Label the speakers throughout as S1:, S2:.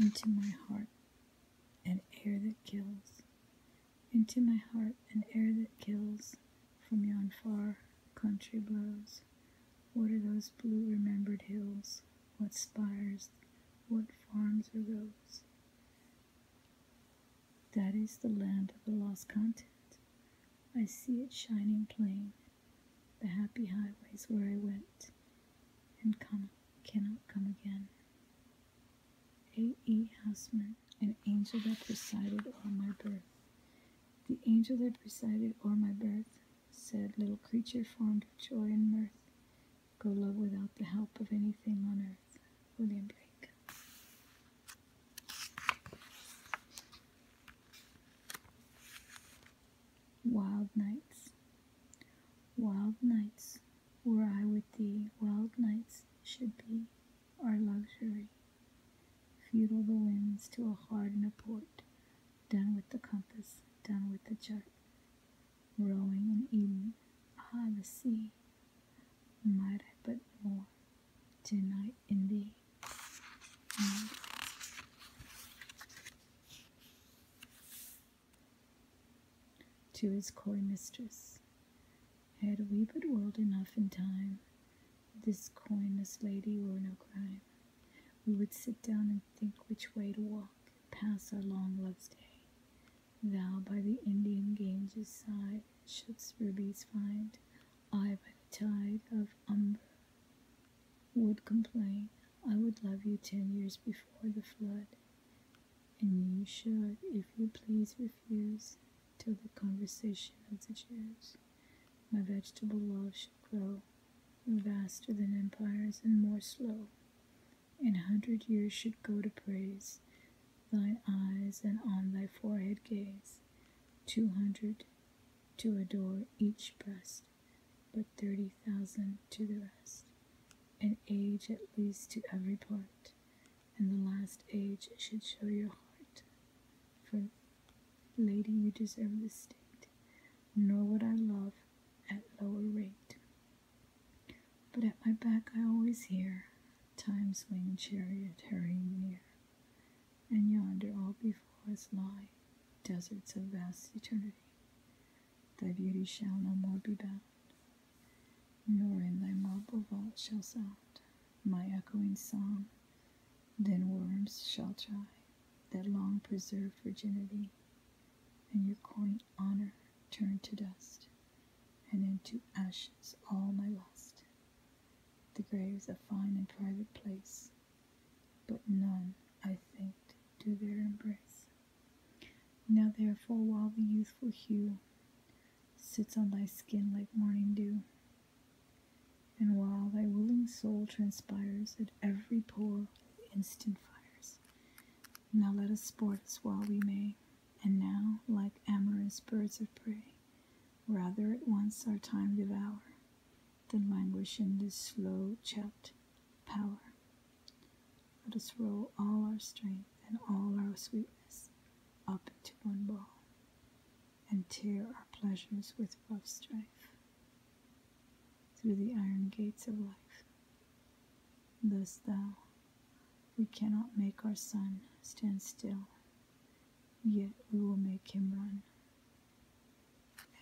S1: into my heart an air that kills, into my heart an air that kills from yon far country blows. What are those blue remembered hills? What spires? What farms are those? That is the land of the lost content. I see it shining plain, the happy highways where I went and come, cannot come again. A. E. Houseman, an angel that presided o'er my birth. The angel that presided o'er my birth said, Little creature formed of joy and mirth, go love without the help of anything on earth. William Blake. Wild nights, wild nights, were I with thee, wild nights should be our luxury. Feudal the winds to a hard and a port, done with the compass, done with the chart. Rowing in Eden, ah, the sea, might I but more tonight in the night. To his coy mistress, had we but whirled enough in time, this coyness lady were no crime. We would sit down and think which way to walk, pass our long love's day. Thou by the Indian Ganges side shouldst rubies find, I by the tide of Umber would complain. I would love you ten years before the flood, and you should, if you please, refuse till the conversation of the years, My vegetable love should grow vaster than empires and more slow. and a hundred years should go to praise thine eyes and on thy forehead gaze, two hundred to adore each breast, but thirty thousand to the rest, an age at least to every part, and the last age should show your heart. For, lady, you deserve the state, nor would I love at lower rate. But at my back I always hear Time's winged chariot hurrying near, and yonder all before us lie deserts of vast eternity. Thy beauty shall no more be bound, nor in thy marble vault shall sound my echoing song. Then worms shall try that long preserved virginity, and your quaint honor turn to dust and into ashes all my lust. The grave's a fine and private place, but none, I think, do there embrace. Now therefore, while the youthful hue sits on thy skin like morning dew, and while thy willing soul transpires at every pore with instant fires, now let us sport us while we may and now, like amorous birds of prey, rather at once our time devour than languish in this slow checked power. Let us roll all our strength and all our sweetness up into one ball, and tear our pleasures with rough strife through the iron gates of life. Thus, thou, we cannot make our sun stand still, yet we will make him run.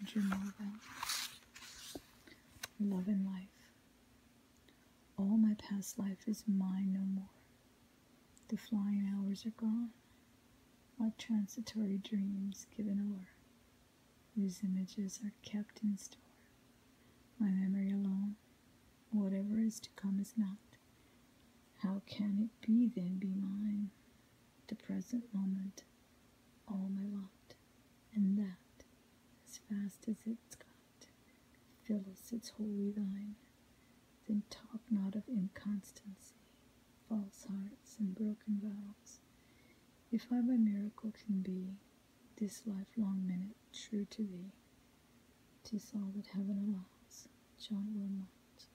S1: And you Andrew Marvell. Love and life. All my past life is mine no more. The flying hours are gone. My transitory dreams given o'er. These images are kept in store. My memory alone Whatever is to come is not. How can it be then be mine? The present moment, all my lot, and that, as fast as it's got, Phyllis, it's wholly thine. Then talk not of inconstancy, false hearts, and broken vows. If I by miracle can be, this lifelong minute true to thee, 'tis all that heaven allows. John Wilmot,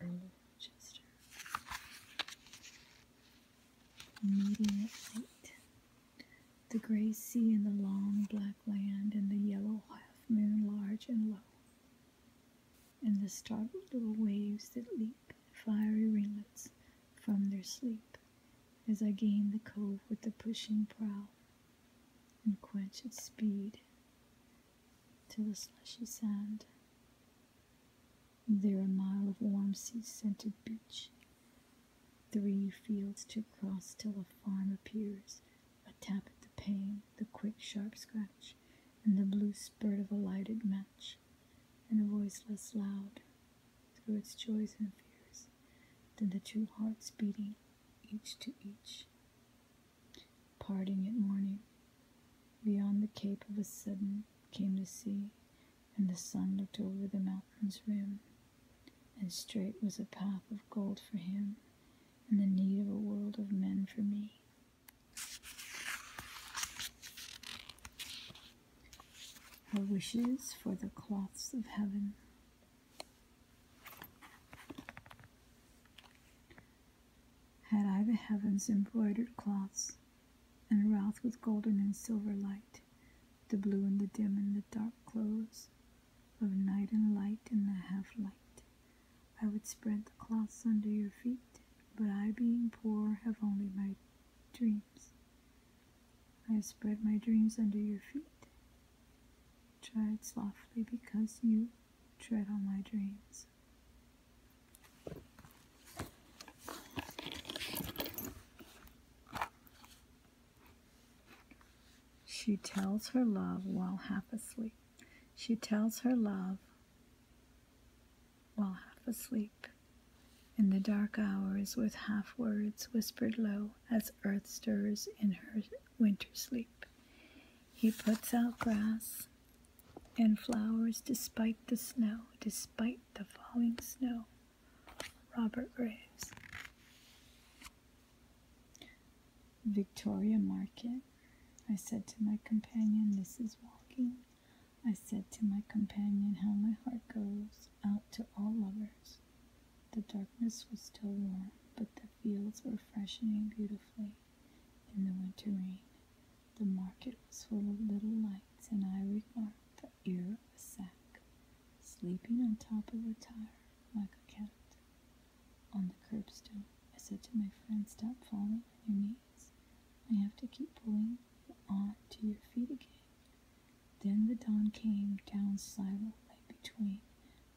S1: Earl of Chester. Meeting at night. The grey sea and the long black land and the yellow half moon large and low. And the startled little waves that leap fiery ringlets from their sleep as I gain the cove with the pushing prow and quench its speed to the slushy sand. There a mile of warm sea-scented beach, three fields to cross till a farm appears, a tap at the pane, the quick sharp scratch, and the blue spurt of a lighted match, and a voiceless loud through its joys and fears, than the two hearts beating each to each. Parting at morning, beyond the cape of a sudden came the sea, and the sun looked over the mountain's rim, and straight was a path of gold for him, and the need of a world of men for me her wishes for the cloths of heaven. Had I the heavens embroidered cloths, and wrought with golden and silver light, the blue and the dim and the dark clothes of night and light and the half light, I would spread the cloths under your feet, but I, being poor, have only my dreams. I have spread my dreams under your feet. Tread softly because you tread on my dreams. She tells her love while half asleep. She tells her love while half asleep. In the dark hours, with half words whispered low, as earth stirs in her winter sleep. He puts out grass and flowers despite the snow, despite the falling snow. Robert Graves. Victoria Market. I said to my companion, This is walking. I said to my companion how my heart goes out to all lovers. The darkness was still warm, but the fields were freshening beautifully in the winter rain. The market was full of little lights, and I remarked the ear of a sack, sleeping on top of a tire like a cat. On the curbstone, I said to my friend, Stop falling on your knees. I have to keep pulling on to your feet again. Then the dawn came down silently between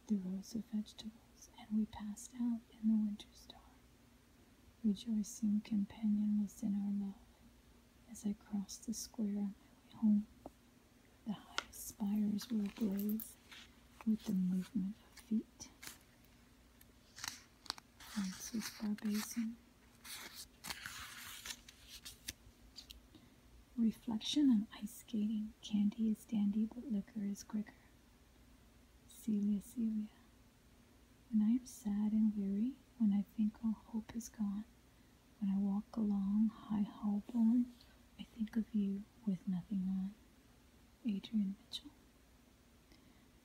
S1: the rows of vegetables, and we passed out in the winter star. Rejoicing companion was in our love as I crossed the square on my way home. The highest spires were ablaze with the movement of feet. Francis Barbason. Reflection on ice skating. Candy is dandy, but liquor is quicker. Celia, Celia. When I am sad and weary, when I think all hope is gone, when I walk along high hallborn, I think of you with nothing on. Adrian Mitchell.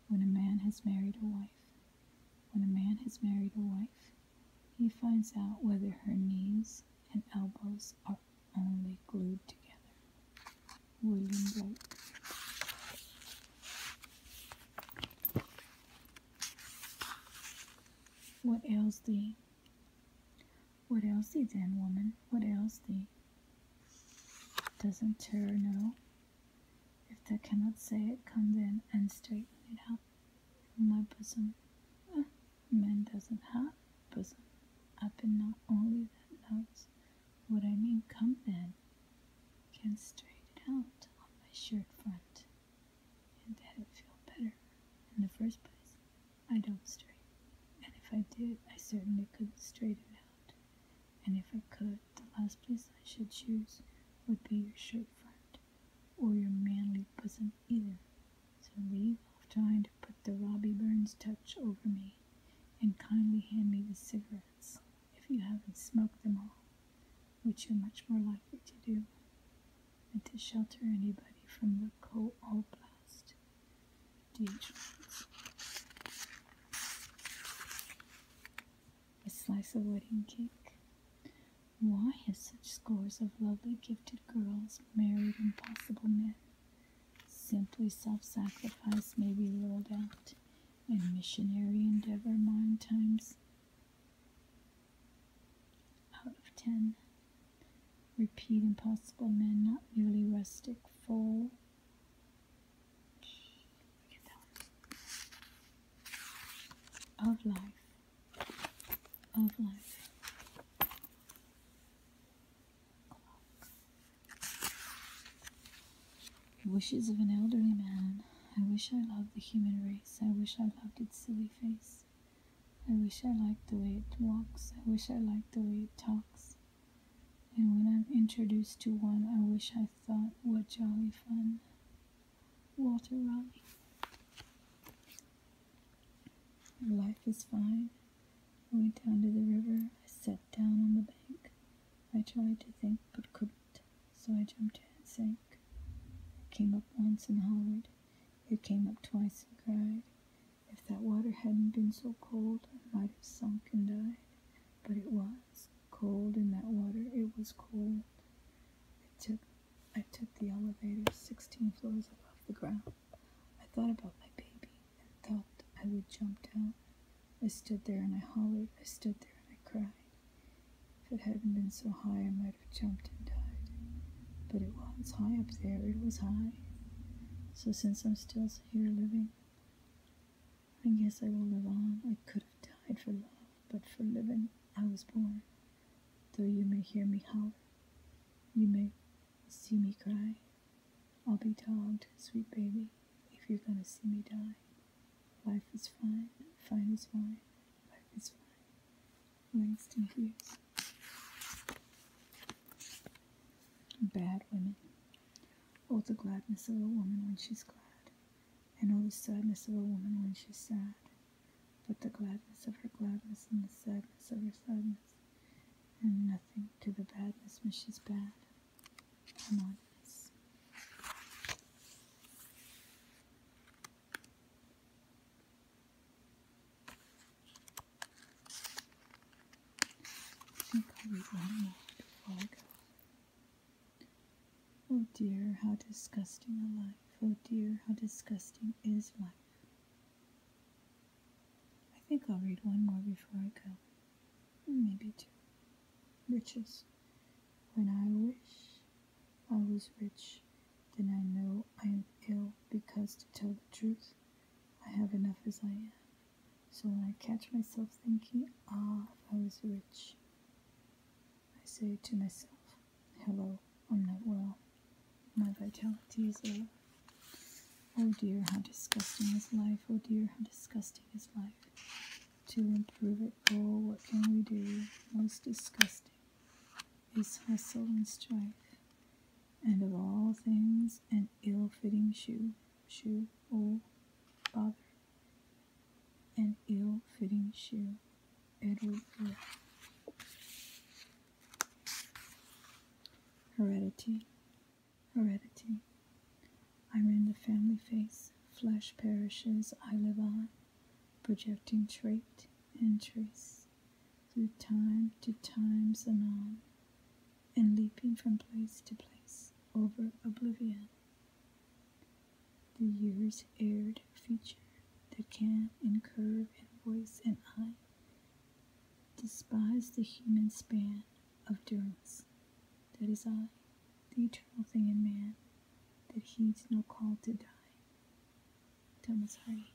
S1: When a man has married a wife, when a man has married a wife, he finds out whether her knees and elbows are only glued together. William Blake. What ails thee? What ails thee then, woman? What ails thee? Doesn't terror know? If they cannot say it, come then and straighten it out my bosom. man doesn't have bosom. I've been not only that knows what I mean. Come then, can straighten it out on my shirt front, and that it feel better. In the first place, I don't straighten, and if I did, I certainly couldn't straighten it out. And if I could, the last place I should choose would be your shirt front or your manly bosom either. So leave off trying to put the Robbie Burns touch over me and kindly hand me the cigarettes if you haven't smoked them all, which you're much more likely to do than to shelter anybody from the coal blast. DH a slice of wedding cake. Why have such scores of lovely, gifted girls married impossible men? Simply self sacrifice may be ruled out, and missionary endeavor nine times out of ten. Repeat impossible men, not merely rustic, full of life. Of life. Wishes of an elderly man. I wish I loved the human race. I wish I loved its silly face. I wish I liked the way it walks. I wish I liked the way it talks. And when I'm introduced to one, I wish I what jolly fun. Walter Raleigh. Life is fine. I went down to the river. I sat down on the bank. I tried to think but couldn't, so I jumped in and sank. I came up once and hollered. It came up twice and cried. If that water hadn't been so cold, I might have sunk and died. But it was, cold in that water. It was cold. It took I took the elevator 16 floors above the ground. I thought about my baby and thought I would jump down. I stood there and I hollered. I stood there and I cried. If it hadn't been so high, I might have jumped and died. But it was high up there. It was high. So since I'm still here living, I guess I will live on. I could have died for love, but for living I was born. Though you may hear me howl, you may see me cry. I'll be dogged, sweet baby, if you're gonna see me die. Life is fine, fine is fine, life is fine. Langston Hughes. Bad women. Oh, the gladness of a woman when she's glad and all the sadness of a woman when she's sad, but the gladness of her gladness and the sadness of her sadness, and nothing to the badness when she's bad. Harmonious. I think Oh dear, how disgusting a life. Oh dear, how disgusting is life. I think I'll read one more before I go. Hmm, maybe two. Riches. When I wish I was rich, then I know I am ill because to tell the truth, I have enough as I am. So when I catch myself thinking, ah, if I was rich, I say to myself, hello, I'm not well. My vitality is low. Oh dear, how disgusting is life. Oh dear, how disgusting is life. To improve it, oh, what can we do? Most disgusting is hustle and strife, and of all things, an ill fitting shoe shoe or bother. An ill-fitting shoe. Edward Heredity. Heredity. I'm in the family face. Flesh perishes. I live on. Projecting trait and trace. Through time to times anon and leaping from place to place over oblivion. The year's aired future that can in curve and voice and eye despise the human span of durance. That is I, the eternal thing in man, that heeds no call to die. Thomas Hardy.